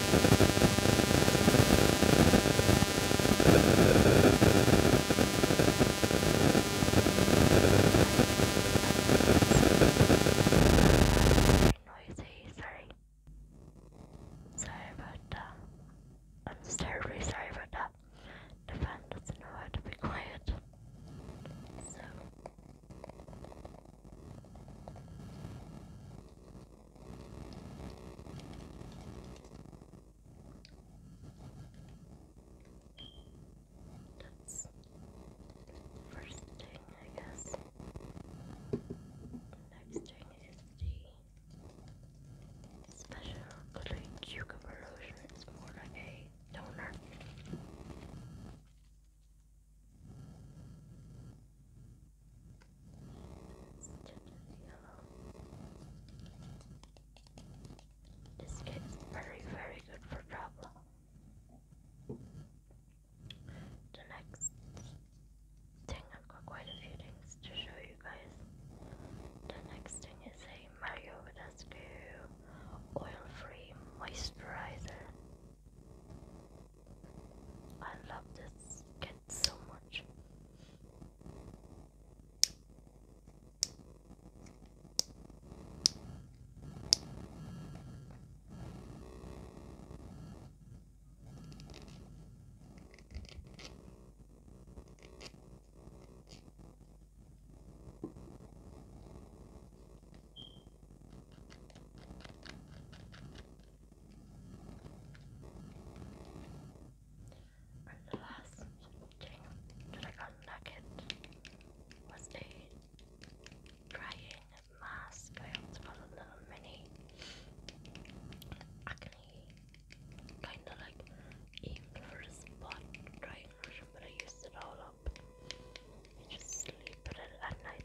noisy, sorry. Sorry about that. I'm just terribly sorry about that. The fan doesn't know how to be quiet. So that's first thing, I guess. Next thing is the special blue cucumber lotion. It's more like a toner. This kit is very, very good for travel. The next thing, I've got quite a few things to show you guys. The next thing is a Mario Badescu oil free moisturizer. I love this kit so much. And the last thing that I got Nugget was a drying mask. I also got a little mini acne kind of like aim for drying lotion, but I used it all up. You just sleep it at night.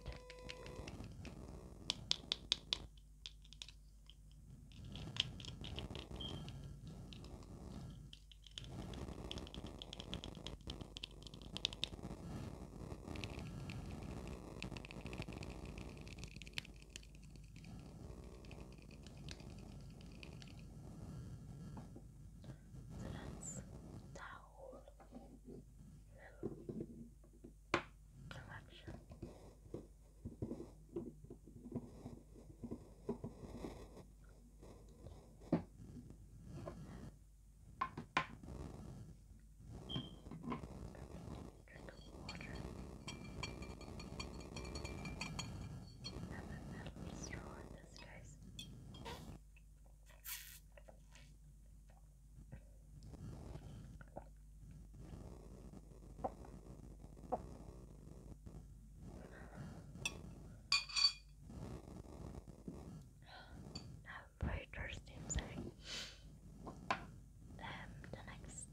So that's towel collection. Drink of water and a metal straw in this case. I'm very Um, the next.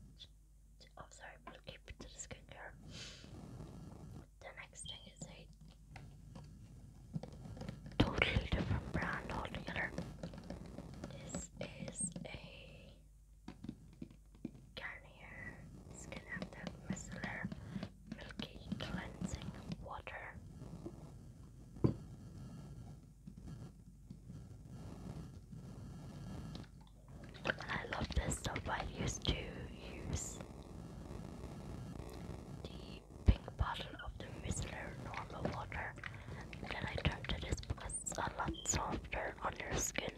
Oh, sorry, we'll keep to the skincare. The next thing is a totally different brand altogether. This is a Garnier Skin Active Milky Cleansing Water. I love this stuff. I used to use the pink bottle of the Whistler normal water and then I dropped to this because it's a lot softer on your skin.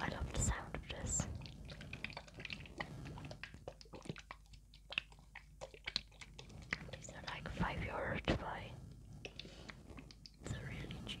I love the sound of this. These are like 5 euros to buy. It's really cheap.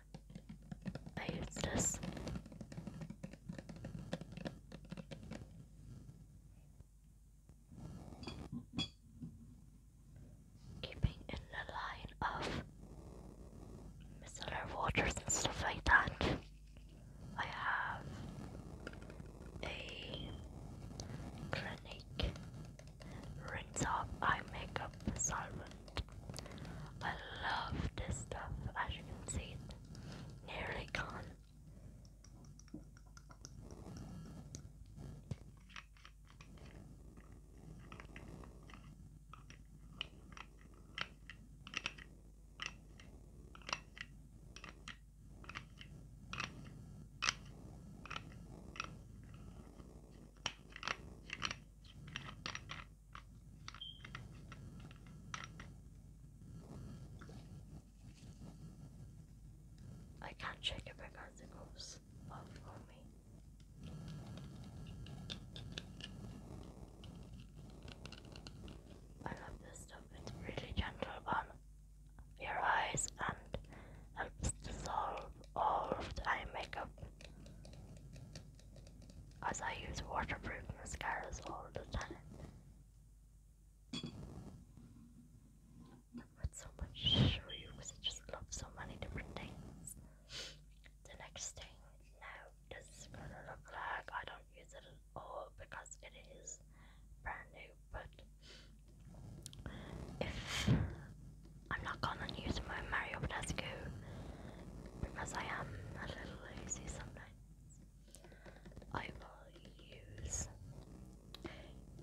I use this. Keeping in the line of micellar waters and stuff like that. I have a Clinique rinse off eye makeup solvent. I love this stuff, as you can see nearly gone. I can't shake it because it goes off me. I love this stuff, it's really gentle on your eyes and helps dissolve all the eye makeup as I use waterproof mascaras all the time. i so much to because I just love so many different things. The next thing now, this is gonna look like I don't use it at all because it is brand new, but if I'm not gonna use my Mario Badescu because I am a little lazy sometimes, I will use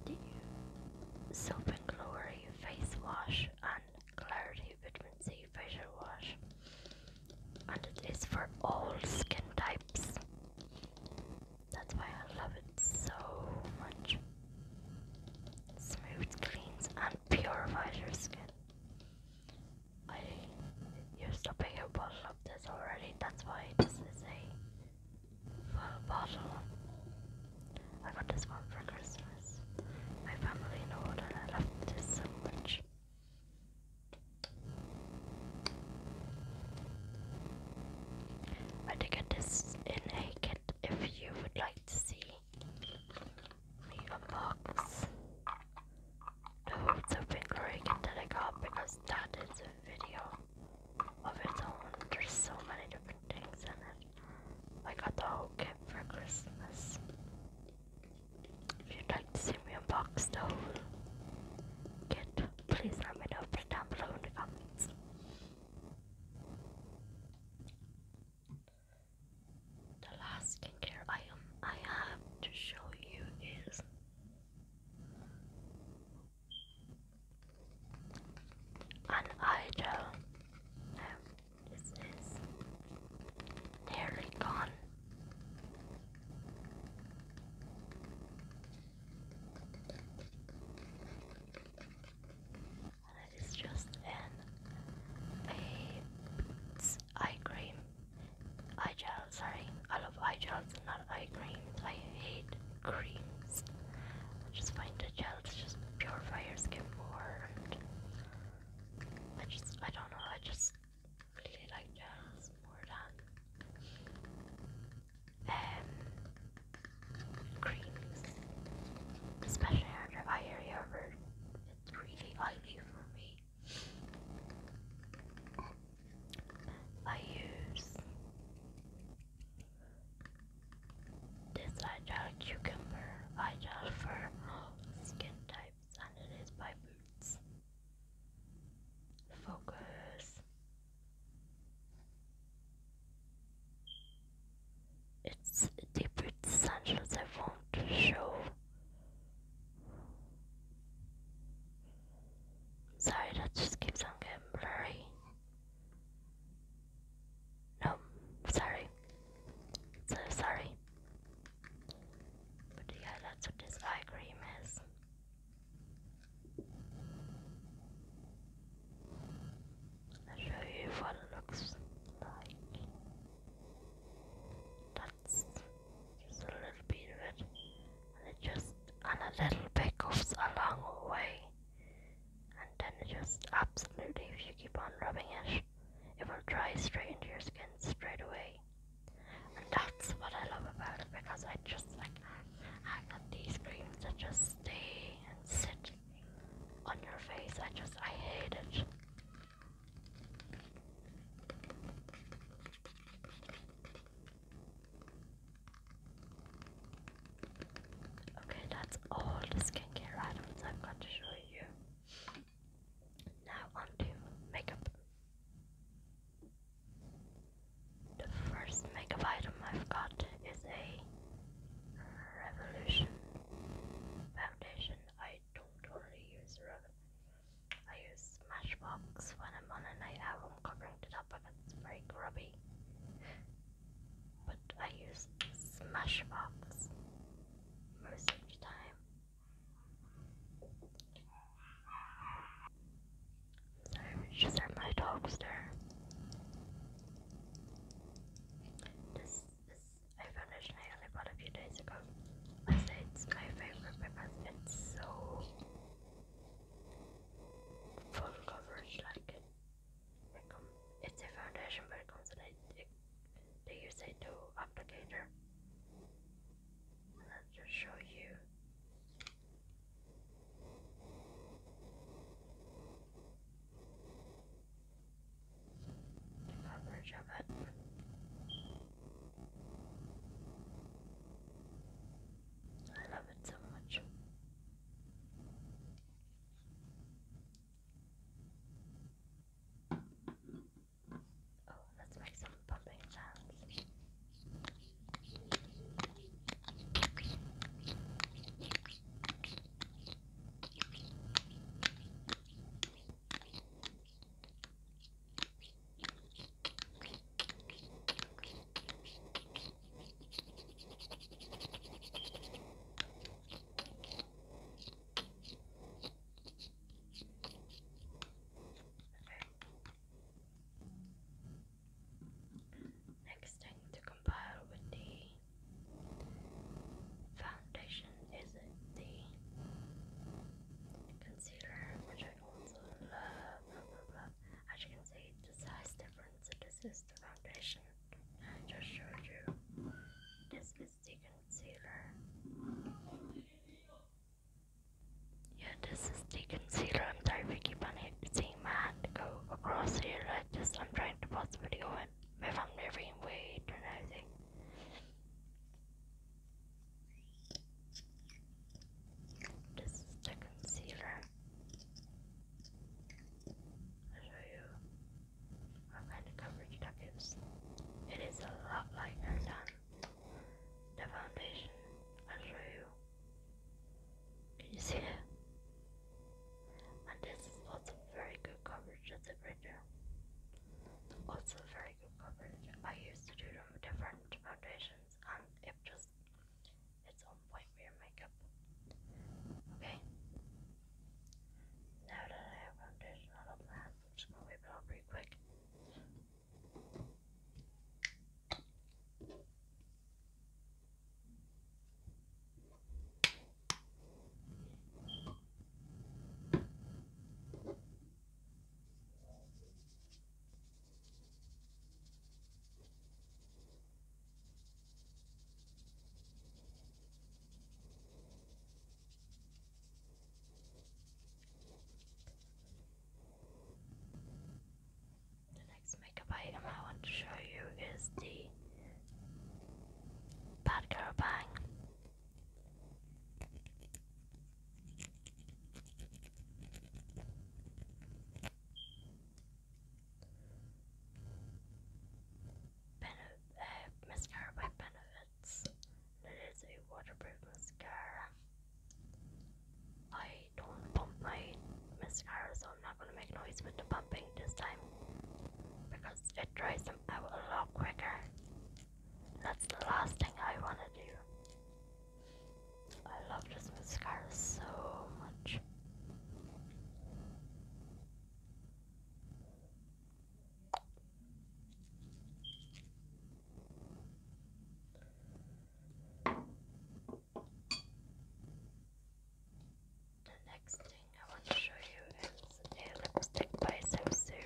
the Soap and Glory face wash and Clarity Vitamin C facial wash, and it is for all skin types. That's why I love it so much. Smooth cleans and purifies your skin. I you're used a bigger bottle of this already, that's why this is a full bottle. I got this one for Christmas. My family know that I love this so much. I think it is in a kit if you would like to see box. No, it's a big rig into the cup because that is a video of its own. There's so many different things in it. I got the whole kit for Christmas. If you'd like to see me unbox the whole kit, please let me know down below in the comments. The last skincare item I have to show you is an eye gel. Um, nearly gone. And just an a eye cream, eye gel. Sorry, I love eye gels, not eye creams. I hate creams. I just find the gels just purify your skin more. I just, I don't know. I just really like gels more than um creams, especially under eye area where it's really oily for me. I use this hydraulic cucumber hydraulic for skin types and it is by Boots. Focus. It British, the I Angels are show. Sorry, that just keeps on getting blurry. No, sorry. So sorry. But yeah, that's what this eye cream is. I'll show you what it looks like. That's just a little bit of it. And it just and a little bit goes a long way. And then it just absolutely if you keep on rubbing it, it will dry straight into your skin straight away. And that's what I love about it because I just like I got these creams that just stay and sit on your face. I just I hate it. Okay, that's all the skincare items I'm going to show you. Now on makeup. The first makeup item I've got is a Revolution foundation. I I don't only use rock. I use Smashbox when I'm on a night out. I'm covering it up if it's very grubby. But I use Smashbox most of the time. Sorry, just my dogs I finished I other one a few days ago. Besides, my favorite paper it's so full coverage, like it, it's a foundation, but it comes in a they use a dual applicator. And i just show you. I love it so much. Oh, let's make some pumping sounds. Next, I to compile with the foundation is the concealer, which I also love. As you can see, the size difference. This is the foundation I just showed you. This is the concealer. Yeah, this is the concealer. I'm sorry we keep on seeing my hand go across here like this. I'm trying to pause the video and if I'm moving wait and everything. This is the concealer. I'll show you what kind of coverage that gives. It is a lot lighter than the foundation. I'll show you. Can you see it? And this is very good coverage. That's a also very good coverage. I used to do different foundations and um, it just it's on point for your makeup. Okay. Now that I have foundation on up my hands, I'm it off pretty quick. The next makeup item I want to show you is the Bad Bang Benef uh, mascara Benefits. It is a waterproof mascara. I don't pump my mascara, so I'm not gonna make noise with the pumping this time. Because it dries them out a lot quicker. that's the last thing I want to do. I love this mascara so much. The next I want to show you is a lipstick by Samsu.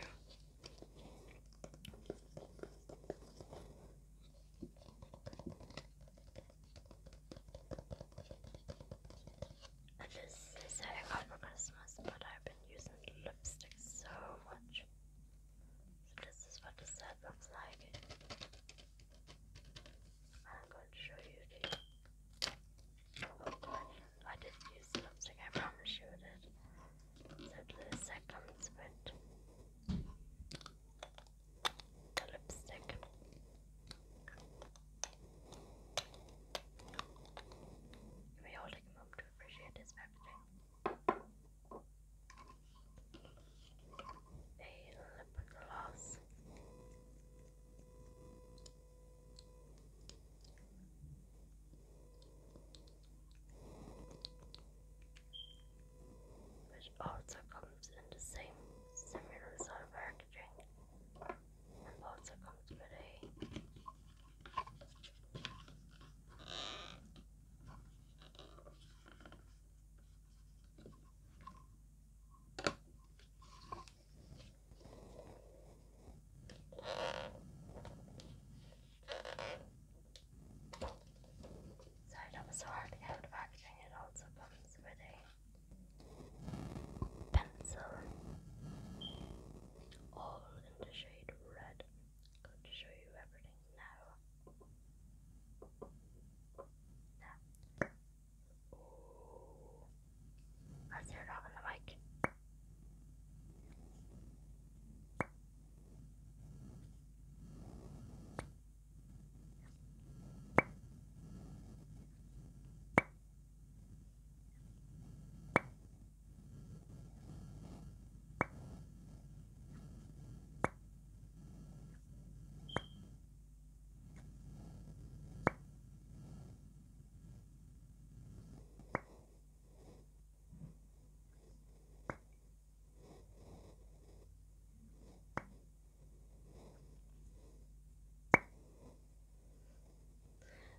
And this is how for Christmas, but I've been using lipstick so much. So this is what the set looks like. I'm going to show you I did use lipstick, I promise you I did. So the second squint. The lipstick. You'll be holding him up to appreciate his packaging. A lip gloss which also comes in the same similar sort of packaging also comes with a Sorry, that was so hard It also comes with a pencil, all in the shade red. going to show you everything now. I threw it up in the mic.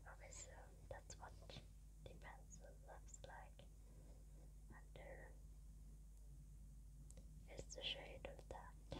Okay, so that's what the pencil looks like, and there is the shade of that.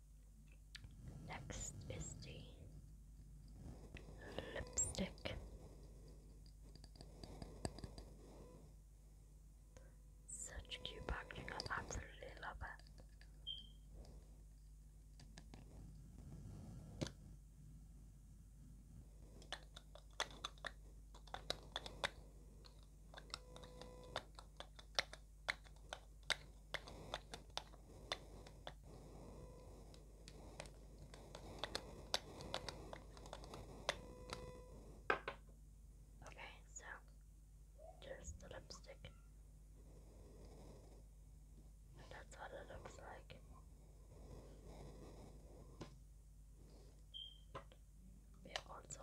Next is the lipstick. Such cute packaging, I absolutely love it. Okay, so there's the lipstick. that's what it looks like. We also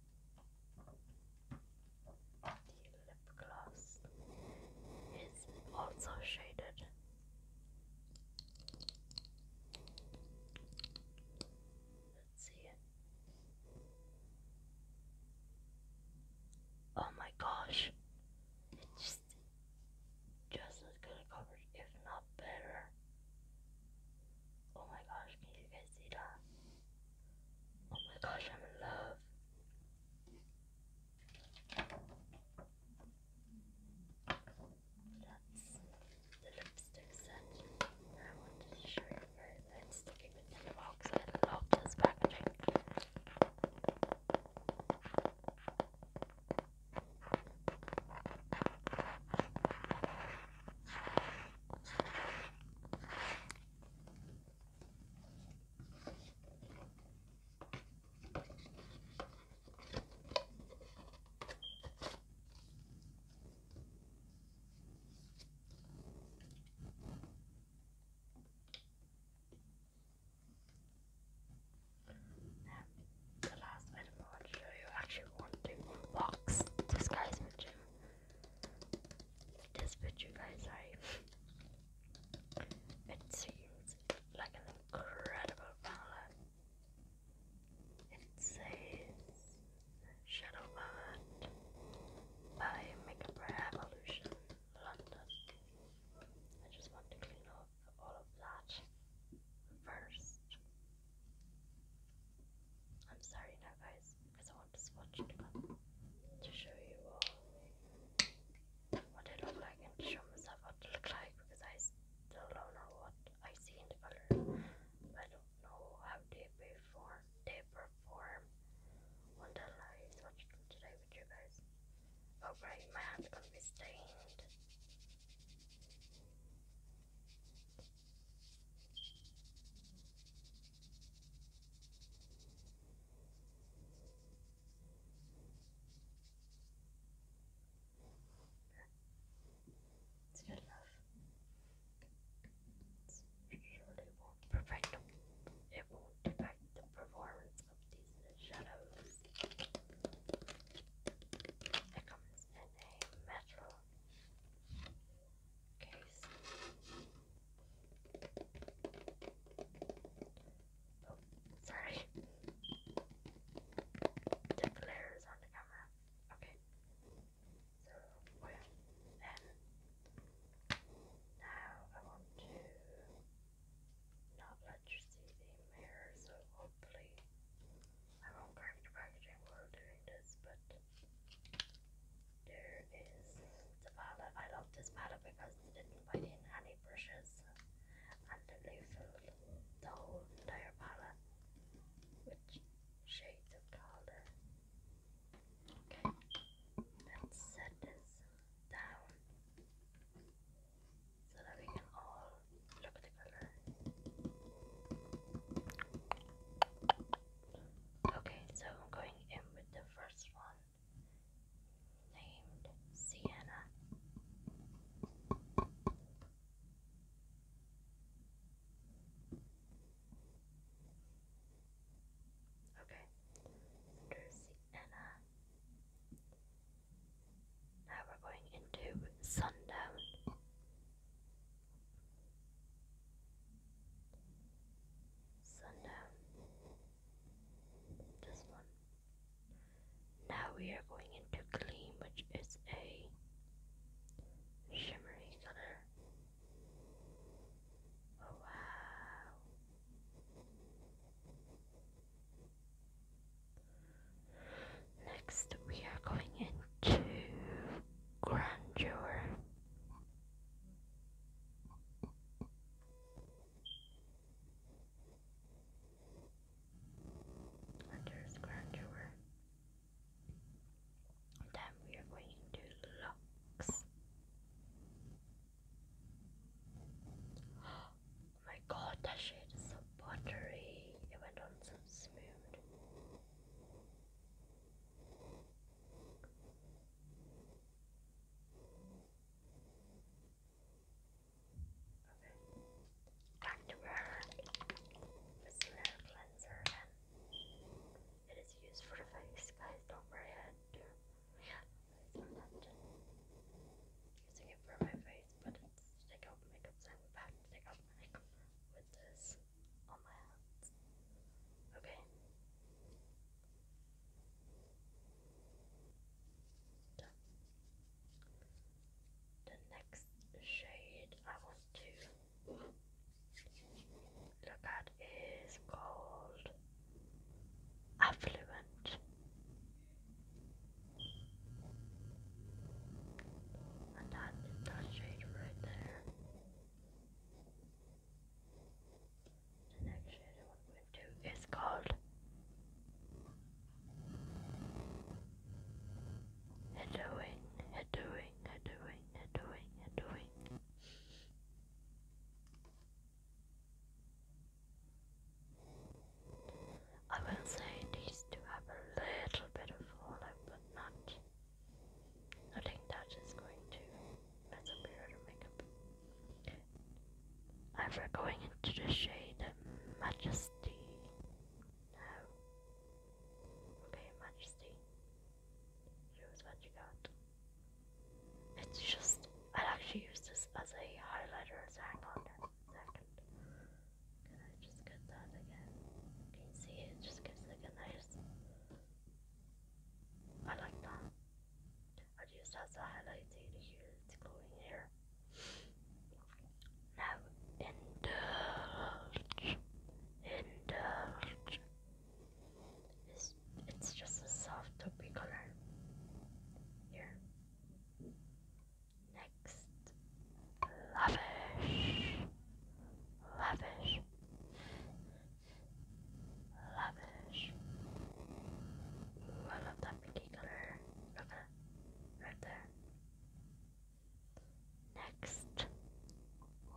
the lip gloss is also shaded. Let's see it. Oh my gosh. It's just as good coverage, if not better. Oh my gosh, can you guys see that? Oh my gosh, I'm in love. That's the lipstick set. I wanted to show you guys. I'm the box. I love this packaging the last item I want to show you actually want to unbox this guy's gym this picture, guys, It seems like an incredible palette. It says Shadow by Makeup Revolution London. I just want to clean up all of that first. I'm sorry now, guys because I want to swatch it to show you all what I look like and show myself what I look like because I still don't know what I see in the color. I don't know how they perform they perform until I swatched them today with you guys. Oh right, my hand's are gonna be stained. It's good It's surely won't perfect. It won't affect the performance of these shadows. It comes in a metal case. Oh, sorry. Did layers on the camera. Okay. So, then, now I want to not let you see the mirror, so hopefully I won't crack the packaging while doing this, but there is the palette. I love this palette because they didn't put in any brushes and they filled the whole entire palette which shades of color. Okay, let's set this down so that we can all look at color. Okay, so I'm going in with the first one named Sienna. Okay, under Sienna. Now we're going into Sundown. So this one. Now we are going into clean, which is a shimmery color. Oh, wow. Next, we are going into grandeur. Hunter's grandeur. Then we are going to locks. Oh my god, that shade is so buttery. It went on so smooth. Time to burn this little cleanser and it is used for the face, guys. Don't worry, I had Using it for my face, but take out makeup, take out makeup with this. Okay. The next shade I want to look at is called Affluent. that is that shade right there. The next shader we're going to do is called Heddoing, Heddoing, Heddoing, Heddoing, Heddoing. I will say these two have a little bit of overlap, but not I think that is going to mess up your makeup. And we going into the shade Majesty now. Okay, Majesty. Here's what you got. It's just, i actually use this as a highlighter, as so hang on second. Can I just get that again? Can see it just gives like a nice I like that. I'd use a highlight here, glowing hair. Now indulge, indulge. It's, it's just a soft taupey color. Here. Next, lavish, lavish. Lavish. I love that pinky color. Right there. Next,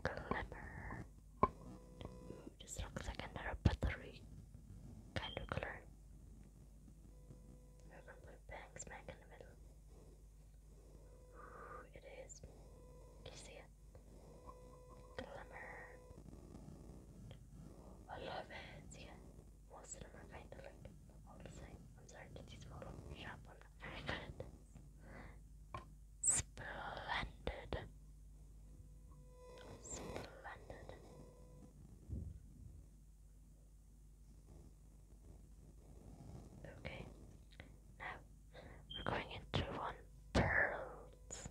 glimmer. this looks like another buttery kind of color. With a blue bang smack in the middle. it is. you see it? Glimmer. I love it. Yeah, most of them are kind of like all the same. I'm sorry to these model very good Splendid. Splendid. Okay, now we're going into one pearls.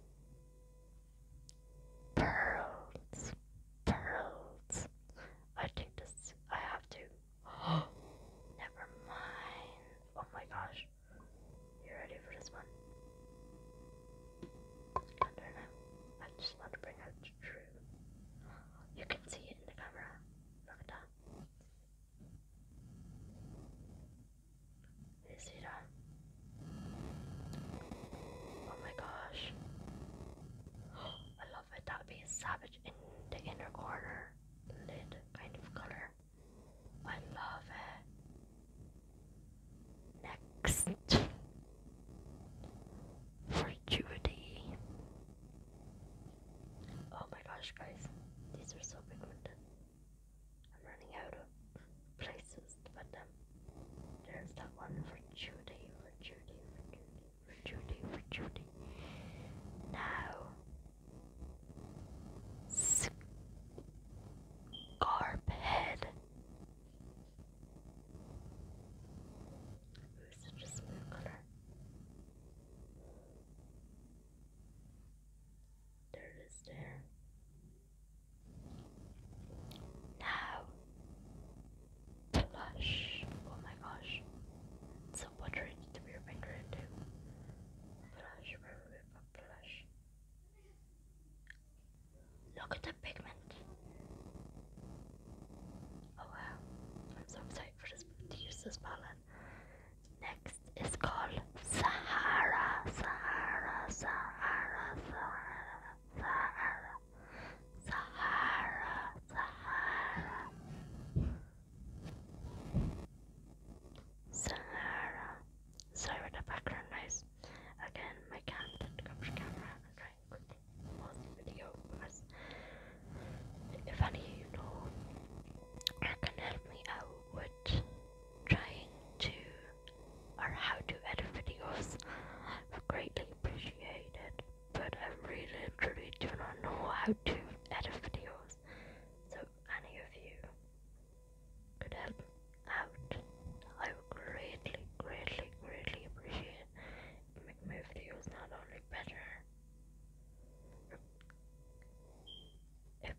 Pearls. Pearls. I think this I have to. Never mind. Oh my gosh. You ready for this one? I don't know. I just want to bring out the truth. You can see it in the camera. Look at that. You see that? Oh my gosh. I love it. That would be a savage in the inner corner lid kind of color. I love it. Next for Judy. Oh my gosh guys, these are so pigmented. I'm running out of places to put them. Um, there's that one for Judy, for Judy, for Judy, for Judy, for Judy. Now, Scarp Head. Who's such a smooth color? There it is there. Now blush. Oh my gosh. It's so watery to be your finger into. Blush, blush. Look at the pigment. Oh wow. I'm so for this to use this palette. Next is called Sahara, Sahara, Sahara, Sahara, Sahara, Sahara, Sahara, Sahara. Sorry for the background noise. Again, my cat didn't capture camera. I'm trying quickly pause the video because if any of you know or can help me out would trying to or how to edit videos I greatly appreciate it but I really truly do not know how to edit videos so any of you could help out I would greatly greatly greatly appreciate it make my videos not only better open.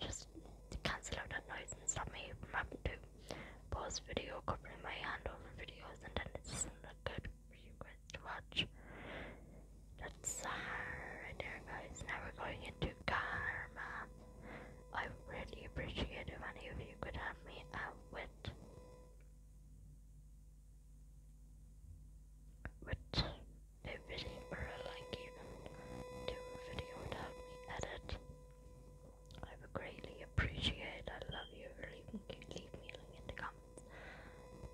Just cancel out that noise and stop me from having to pause video covering my hand over videos and then this not good for you guys to watch. That's uh, right there guys. Now we're going into karma. I really appreciate if any of you could help me out with with a video or like even do a video without me edit. I would greatly appreciate I love you leave me leave me a link in the comments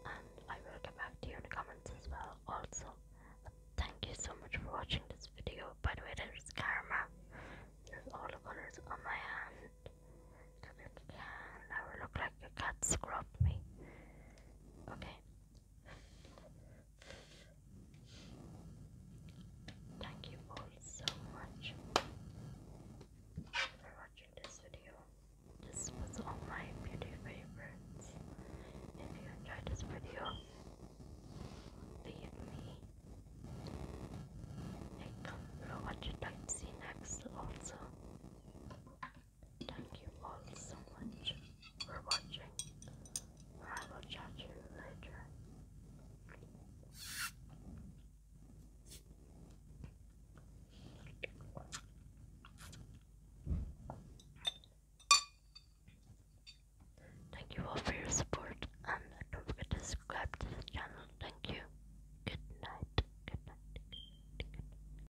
and I will get back to you in the comments as well also. thank you so much for watching this video. By the way there is karma. There's all the colors on my hand. Because I will look like a cat scrubbed me. Okay, Thank you all so much for watching this video. This was all my beauty favorites. If you enjoyed this video, leave me a comment what you'd like to see next also. Thank you all so much for watching. I will chat you later. Thank you all for your support and don't forget to subscribe to this channel. Thank you. Good night. Good